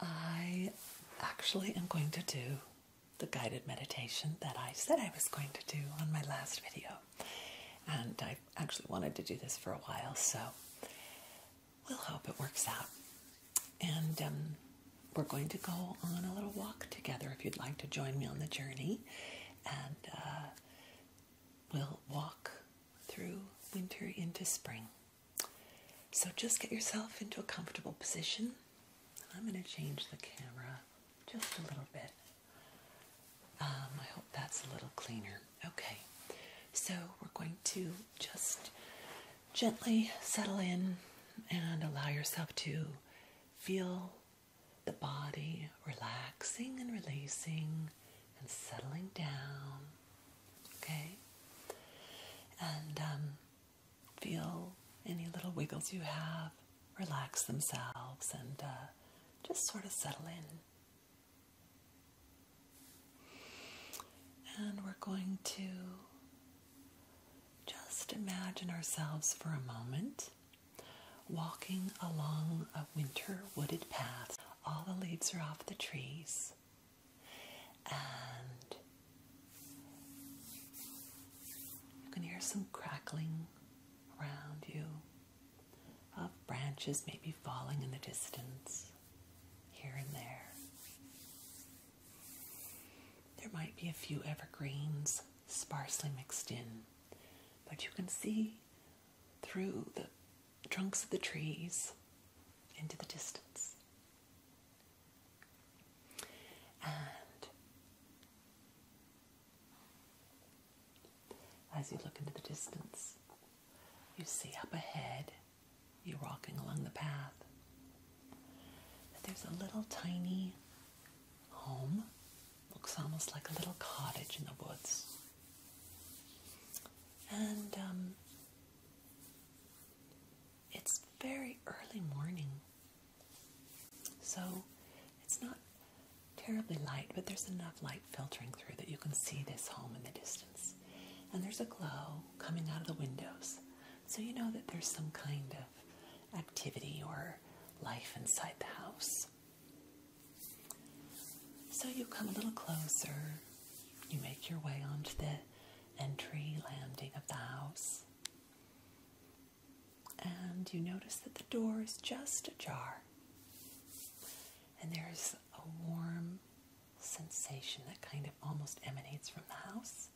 I actually am going to do the guided meditation that I said I was going to do on my last video. And I actually wanted to do this for a while, so we'll hope it works out and um, we're going to go on a little walk together if you'd like to join me on the journey. And uh, we'll walk through winter into spring. So just get yourself into a comfortable position. I'm going to change the camera just a little bit. Um, I hope that's a little cleaner. Okay, so we're going to just gently settle in and allow yourself to feel the body relaxing and releasing and settling down. Okay? And um, feel any little wiggles you have relax themselves and uh, just sort of settle in. And we're going to just imagine ourselves for a moment walking along a winter wooded path. All the leaves are off the trees, and you can hear some crackling around you of branches maybe falling in the distance here and there. There might be a few evergreens sparsely mixed in, but you can see through the trunks of the trees into the distance. And as you look into the distance, you see up ahead you're walking along the path. there's a little tiny home. Looks almost like a little cottage in the woods. And um, it's very early morning. So it's not terribly light, but there's enough light filtering through that you can see this home in the distance. And there's a glow coming out of the windows. So you know that there's some kind of activity or life inside the house. So you come a little closer. You make your way onto the entry landing of the house. And you notice that the door is just ajar. And there's a warm sensation that kind of almost emanates from the house.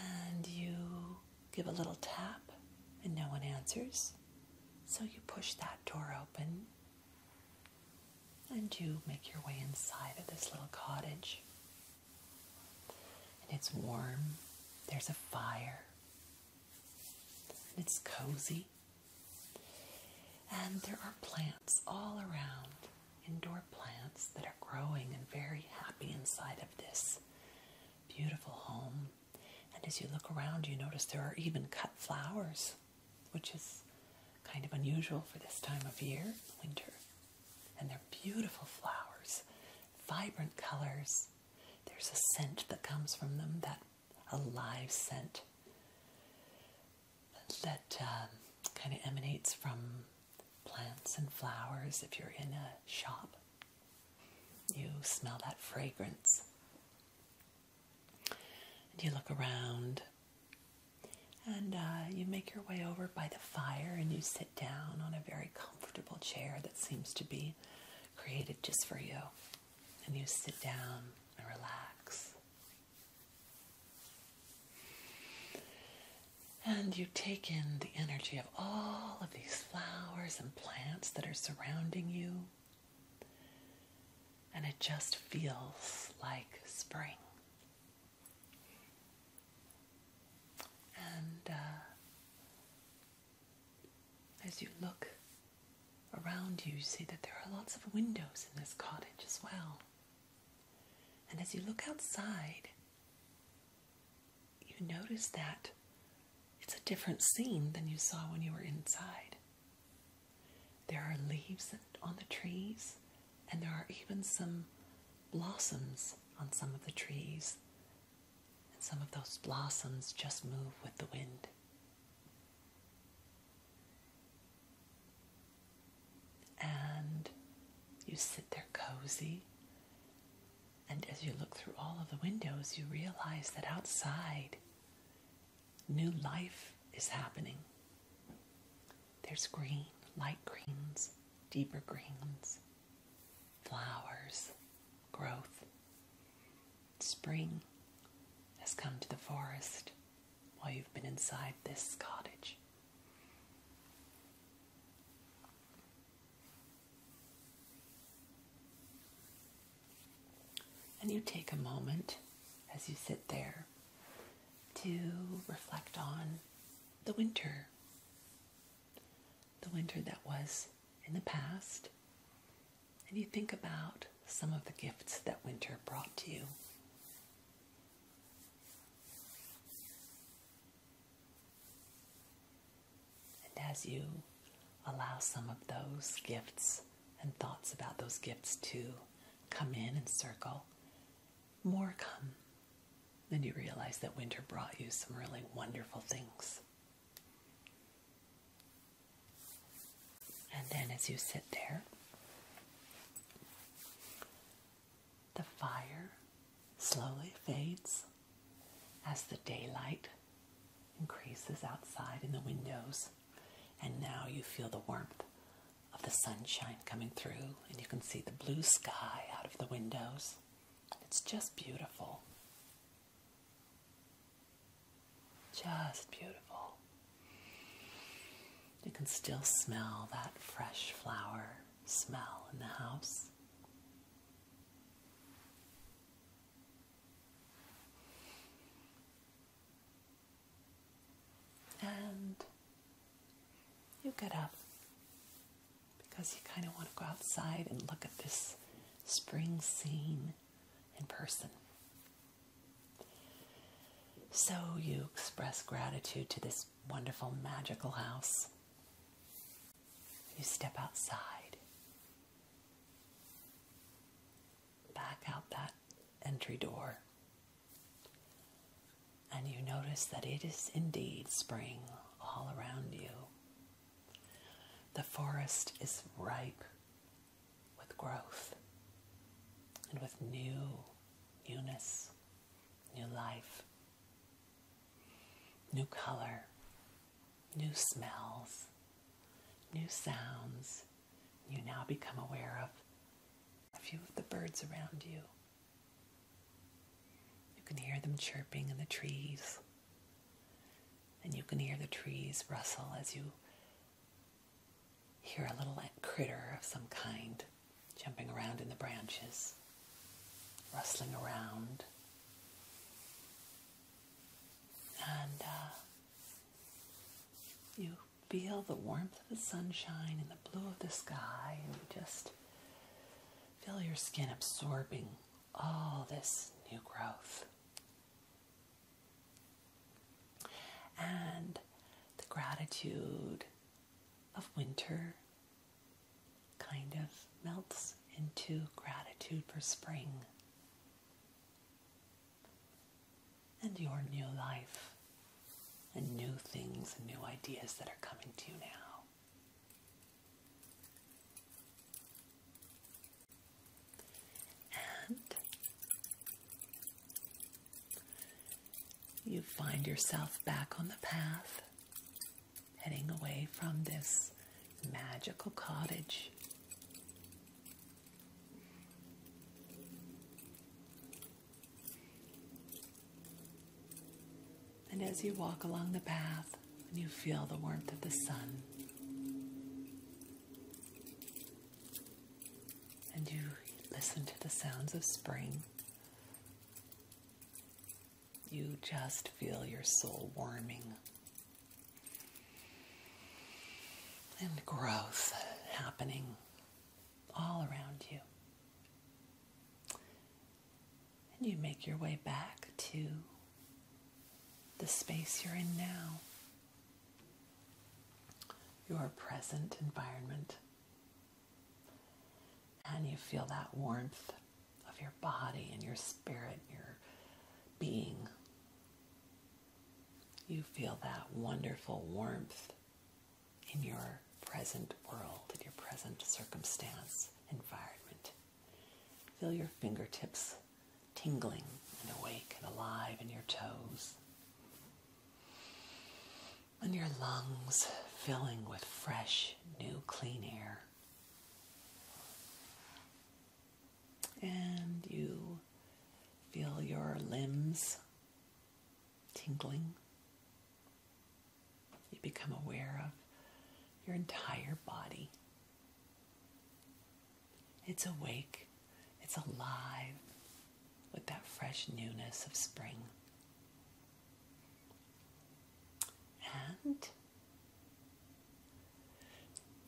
And you give a little tap, and no one answers. So you push that door open and you make your way inside of this little cottage. And it's warm, there's a fire, and it's cozy. And there are plants all around, indoor plants that are growing and very happy inside of this beautiful home. And as you look around, you notice there are even cut flowers, which is kind of unusual for this time of year, winter. And they're beautiful flowers, vibrant colors. There's a scent that comes from them, that a live scent that um, kind of emanates from plants and flowers. If you're in a shop, you smell that fragrance. And you look around and uh, you make your way over by the fire and you sit down on a very comfortable chair that seems to be created just for you. And you sit down and relax. And you take in the energy of all of these flowers and plants that are surrounding you. And it just feels like spring. And uh, as you look around you, you see that there are lots of windows in this cottage as well. And as you look outside, you notice that it's a different scene than you saw when you were inside. There are leaves on the trees, and there are even some blossoms on some of the trees. And some of those blossoms just move with the wind. And you sit there cozy. And as you look through all of the windows, you realize that outside, new life is happening. There's green, light greens, deeper greens, flowers, growth. Spring has come to the forest while you've been inside this cottage. And you take a moment as you sit there to reflect on the winter. The winter that was in the past and you think about some of the gifts that winter brought to you. And as you allow some of those gifts and thoughts about those gifts to come in and circle, more come. Then you realize that winter brought you some really wonderful things. And then as you sit there, the fire slowly fades as the daylight increases outside in the windows. And now you feel the warmth of the sunshine coming through, and you can see the blue sky out of the windows. It's just beautiful. Just beautiful. You can still smell that fresh flower smell in the house. And you get up because you kind of want to go outside and look at this spring scene in person. So you express gratitude to this wonderful, magical house. You step outside, back out that entry door, and you notice that it is indeed spring all around you. The forest is ripe with growth and with new newness, new life, new color, new smells, new sounds. You now become aware of a few of the birds around you. You can hear them chirping in the trees. And you can hear the trees rustle as you hear a little critter of some kind jumping around in the branches, rustling around. And uh, you feel the warmth of the sunshine and the blue of the sky, and you just feel your skin absorbing all this new growth. And the gratitude of winter kind of melts into gratitude for spring and your new life and new things and new ideas that are coming to you now. And you find yourself back on the path, heading away from this magical cottage. And as you walk along the path, and you feel the warmth of the sun. And you listen to the sounds of spring. You just feel your soul warming. And growth happening all around you. And you make your way back to the space you're in now, your present environment. And you feel that warmth of your body and your spirit, your being. You feel that wonderful warmth in your present world, in your present circumstance, environment. Feel your fingertips tingling and awake and alive in your toes. And your lungs filling with fresh, new, clean air. And you feel your limbs tingling you become aware of your entire body. It's awake, it's alive with that fresh newness of spring. And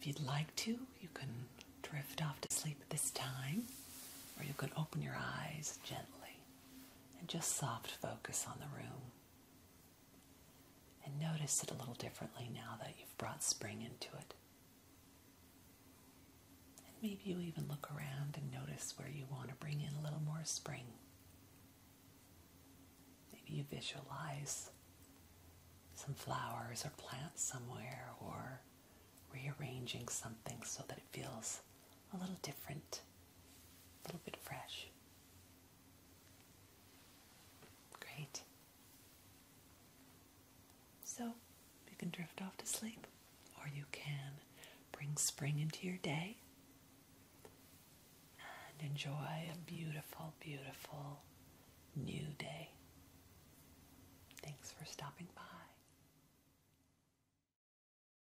if you'd like to, you can drift off to sleep at this time, or you can open your eyes gently and just soft focus on the room. And notice it a little differently now that you've brought spring into it. And maybe you even look around and notice where you want to bring in a little more spring. Maybe you visualize some flowers or plants somewhere or rearranging something so that it feels a little different, a little bit fresh. Great. So you can drift off to sleep, or you can bring spring into your day and enjoy a beautiful, beautiful new day. Thanks for stopping by.